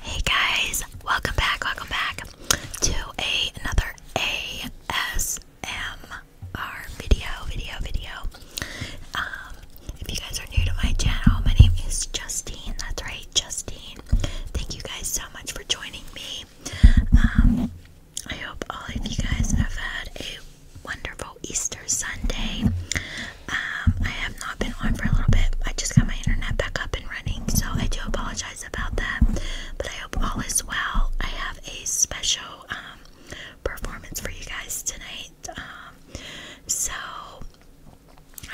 Hey guys, welcome back, welcome back to another ASMR video, video, video. Um, if you guys are new to my channel, my name is Justine, that's right, Justine. Thank you guys so much for joining me. Um, I hope all of you guys have had a wonderful Easter Sunday. Um, I have not been on for a little bit. I just got my internet back up and running, so I do apologize about that. But I hope all is well. I have a special um, performance for you guys tonight. Um, so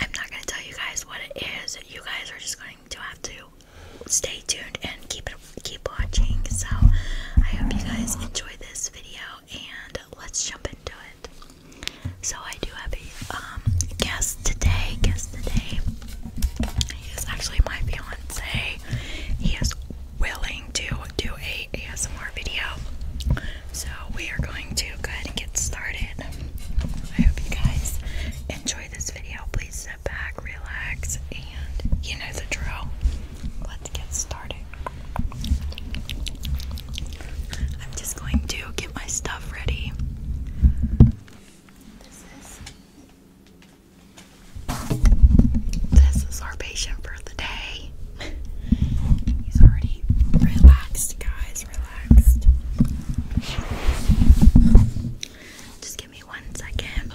I'm not going to tell you guys what it is. You guys are just going to have to stay tuned and keep it, keep watching. So I hope you guys enjoy this video and let's jump into it. So I do have a um, guest today. Guest today. He is actually my fiance. He is willing to do a ASMR video. So we are going to go ahead and get started. I hope you guys enjoy this video. Please sit back, relax, and you know the drill. Let's get started. I'm just going to get my stuff ready. This is our patient for the day. He's already relaxed, guys. Relaxed. Just give me one second.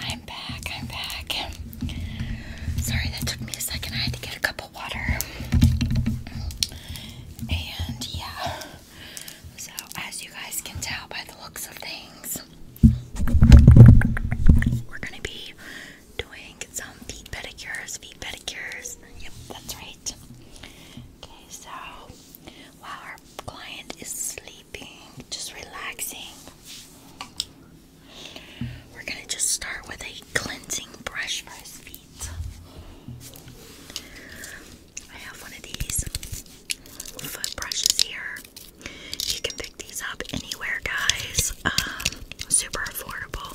I'm back. I'm back. Sorry that took me a second. I had to get a cup of water. And yeah. So, as you guys can tell by the looks of things, we're going to be doing some feet pedicures, feet pedicures. Yep, that's right. Okay, so while our client is sleeping, just relaxing, we're going to just start with a cleansing brush for his feet. I have one of these foot brushes here. You can pick these up anywhere, guys. Um, super affordable.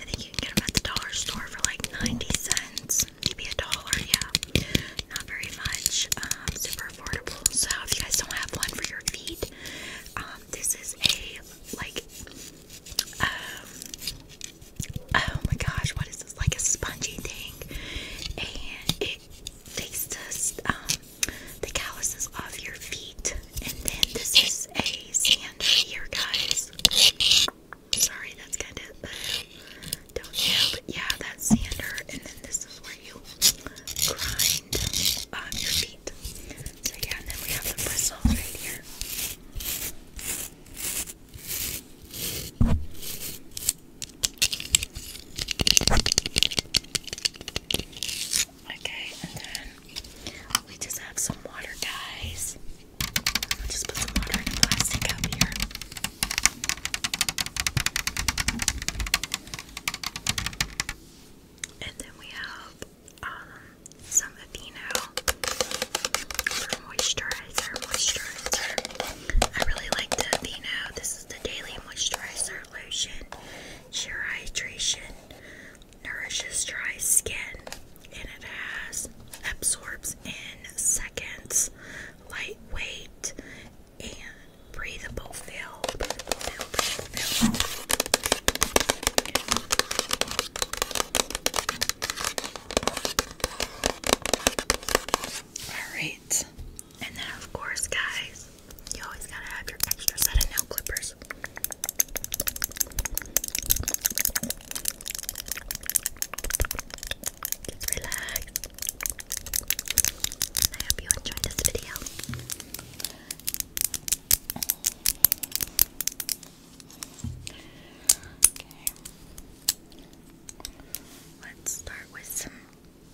I think you can get them at the dollar store for like 90 cents, maybe a dollar, yeah. Not very much. Um, super affordable. So if you guys don't have one for your feet, um, this is a like, um, oh my gosh, what is this? Like a spongy thing, and it takes the um the calluses off your feet. And then this is a sand here, guys. Sorry, that's kind of don't know, but yeah, that's sander. And then this is you your feet. Okay, and then we just have some water, guys. just put some water in a plastic cup here. And then we have um, some Aveeno for moisturizer. Moisturizer. I really like Aveeno. This is the Daily Moisturizer Lotion. Sheer Hydration. Nourishes dry skin. And it has absorbs in seconds. Lightweight and breathable filled, filled, filled. Alright, and then of course, guys, you always gotta have your extra set of nail clippers. relax. I hope you enjoyed this video. Let's start with some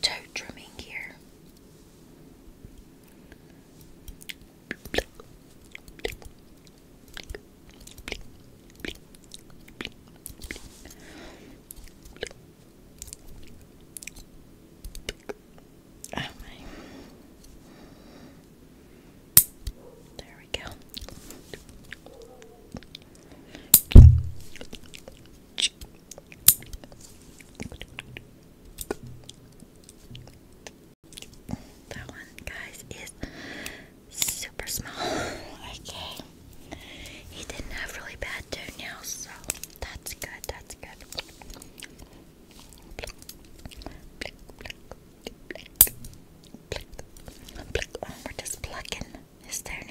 toe trimming here. Right. There we go. That one, guys, is super small. Okay. He didn't have really bad toenails, so that's good, that's good. Oh, we're just plucking. Is there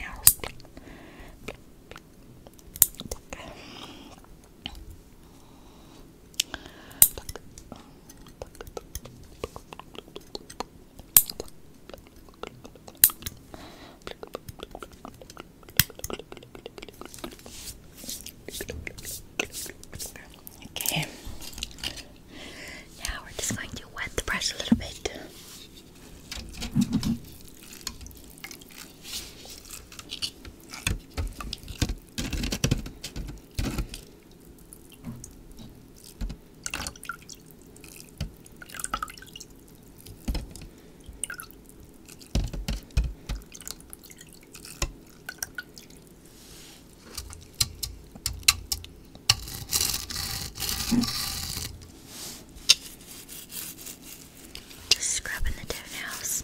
Okay. Now we're just going to wet the brush a little bit. Just scrubbing the toenails.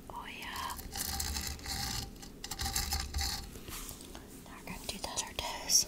Oh, euer. Now we're going to do those our toes.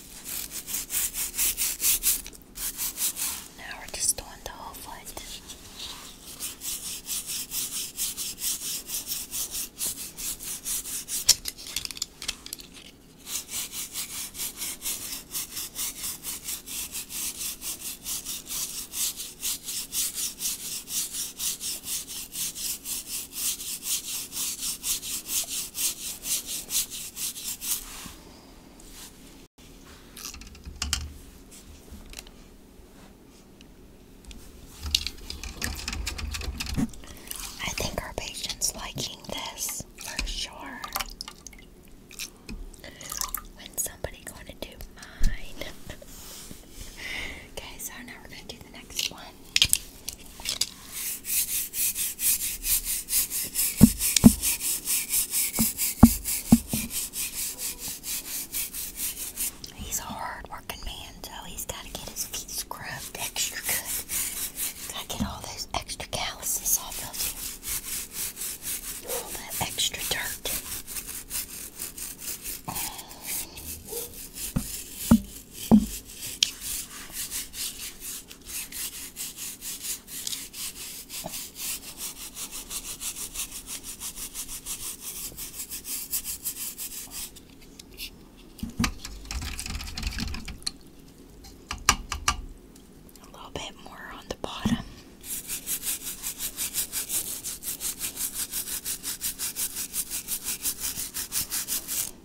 Now we're just doing the whole foot. I think our patient's liking this for sure. When's somebody going to do mine? okay, so now we're going to do the next one. He's a hard working man, so he's got to get his feet scrubbed extra good. Got to get all those extra calluses off of him. All that extra dirt. A little bit more on the bottom.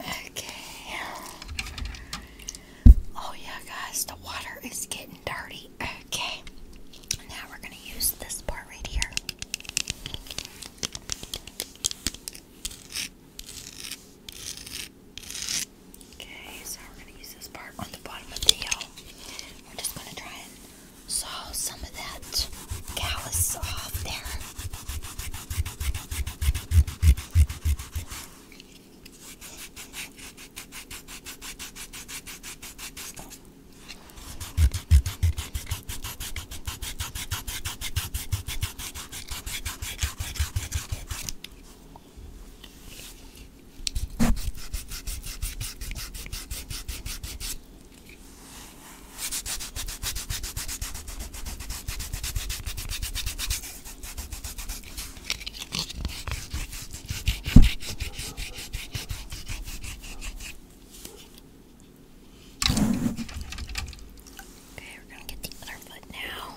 Okay. Oh, yeah, guys, the water is getting dirty. Okay. Now we're going to use this part right here. Okay, so we're going to use this part on the bottom of the hill. We're just going to try and so some of that callus off there. Okay, we're going to get the other foot now.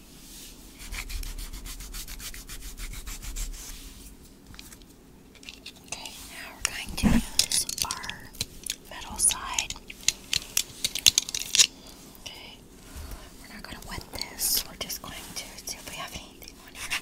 Okay, now we're going to use our metal side. Okay, we're not going to wet this, we're just going to see if we have anything on here.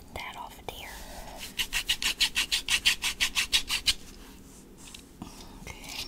get that off of there. Okay. Okay.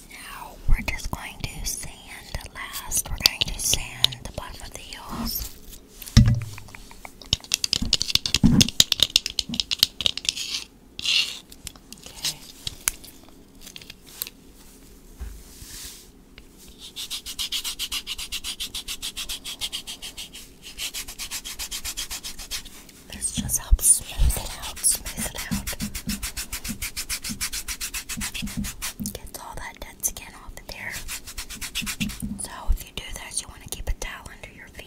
now we're just going to sand last. We're going to sand the bottom of the heels. Okay. This just helps smooth it out, smooth it out all that dead skin off there. So if you do this, you want to keep a towel under your feet.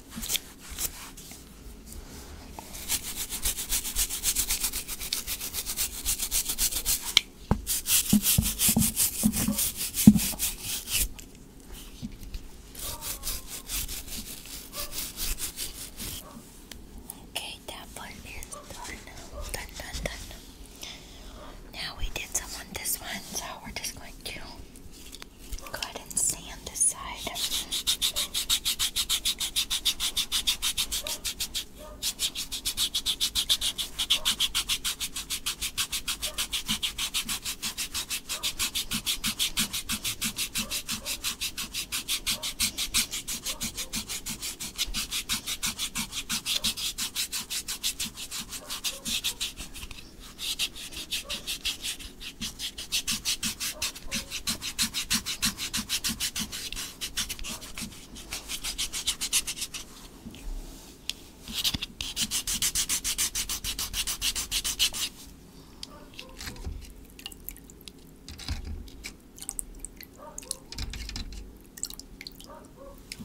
Okay, that one is done. Done, done, done. Now we did some this one, so we're just going to Go ahead and sand this side.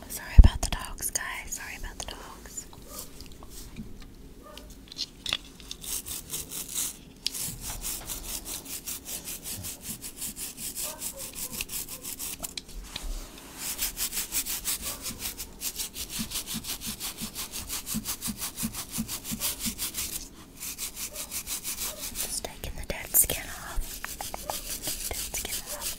Sorry about the dogs, guys. Sorry about the dogs this. Just taking the dead skin off. Dead skin off.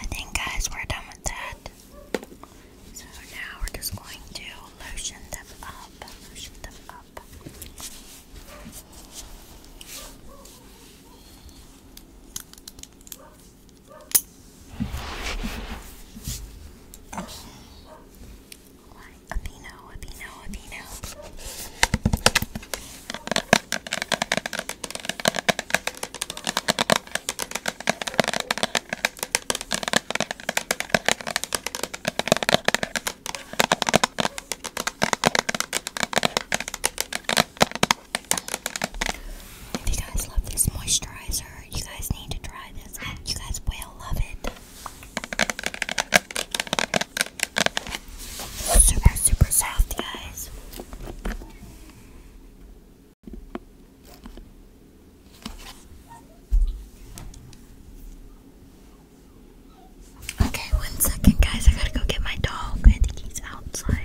I think, guys, we're done with that. So now we're just going to lotion them up. Lotion them up you guys love this moisturizer, you guys need to try this. You guys will love it. Super, super soft, guys. Okay, one second, guys. I gotta go get my dog. I think he's outside.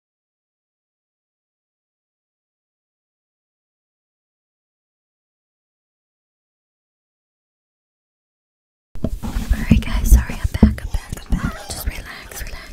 Alright guys, sorry I'm back, I'm back, I'm back. Just relax, relax.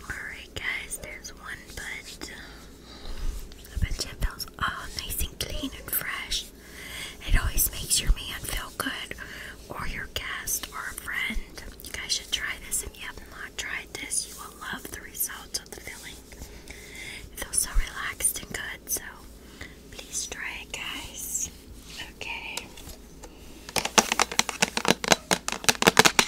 Alright, guys, there's one, but. The bedtime feels all ah, nice and clean and fresh. It always makes your man feel good, or your guest, or a friend. You guys should try this. If you have not tried this, you will love the results of the filling. It feels so relaxed and good, so please try it, guys. Okay.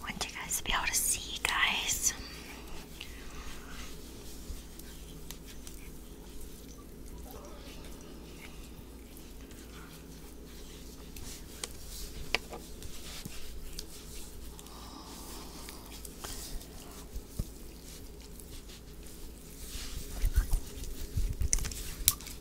Want you guys to be able to see, guys.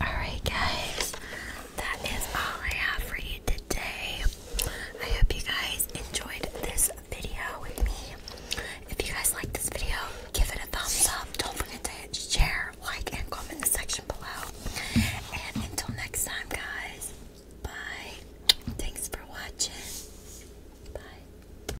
Alright, guys, that is all I have for you today. I hope you guys enjoyed this video with me. If you guys like this video, give it a thumbs up. Don't forget to hit share, like, and comment in the section below. And until next time, guys, bye. Thanks for watching. Bye.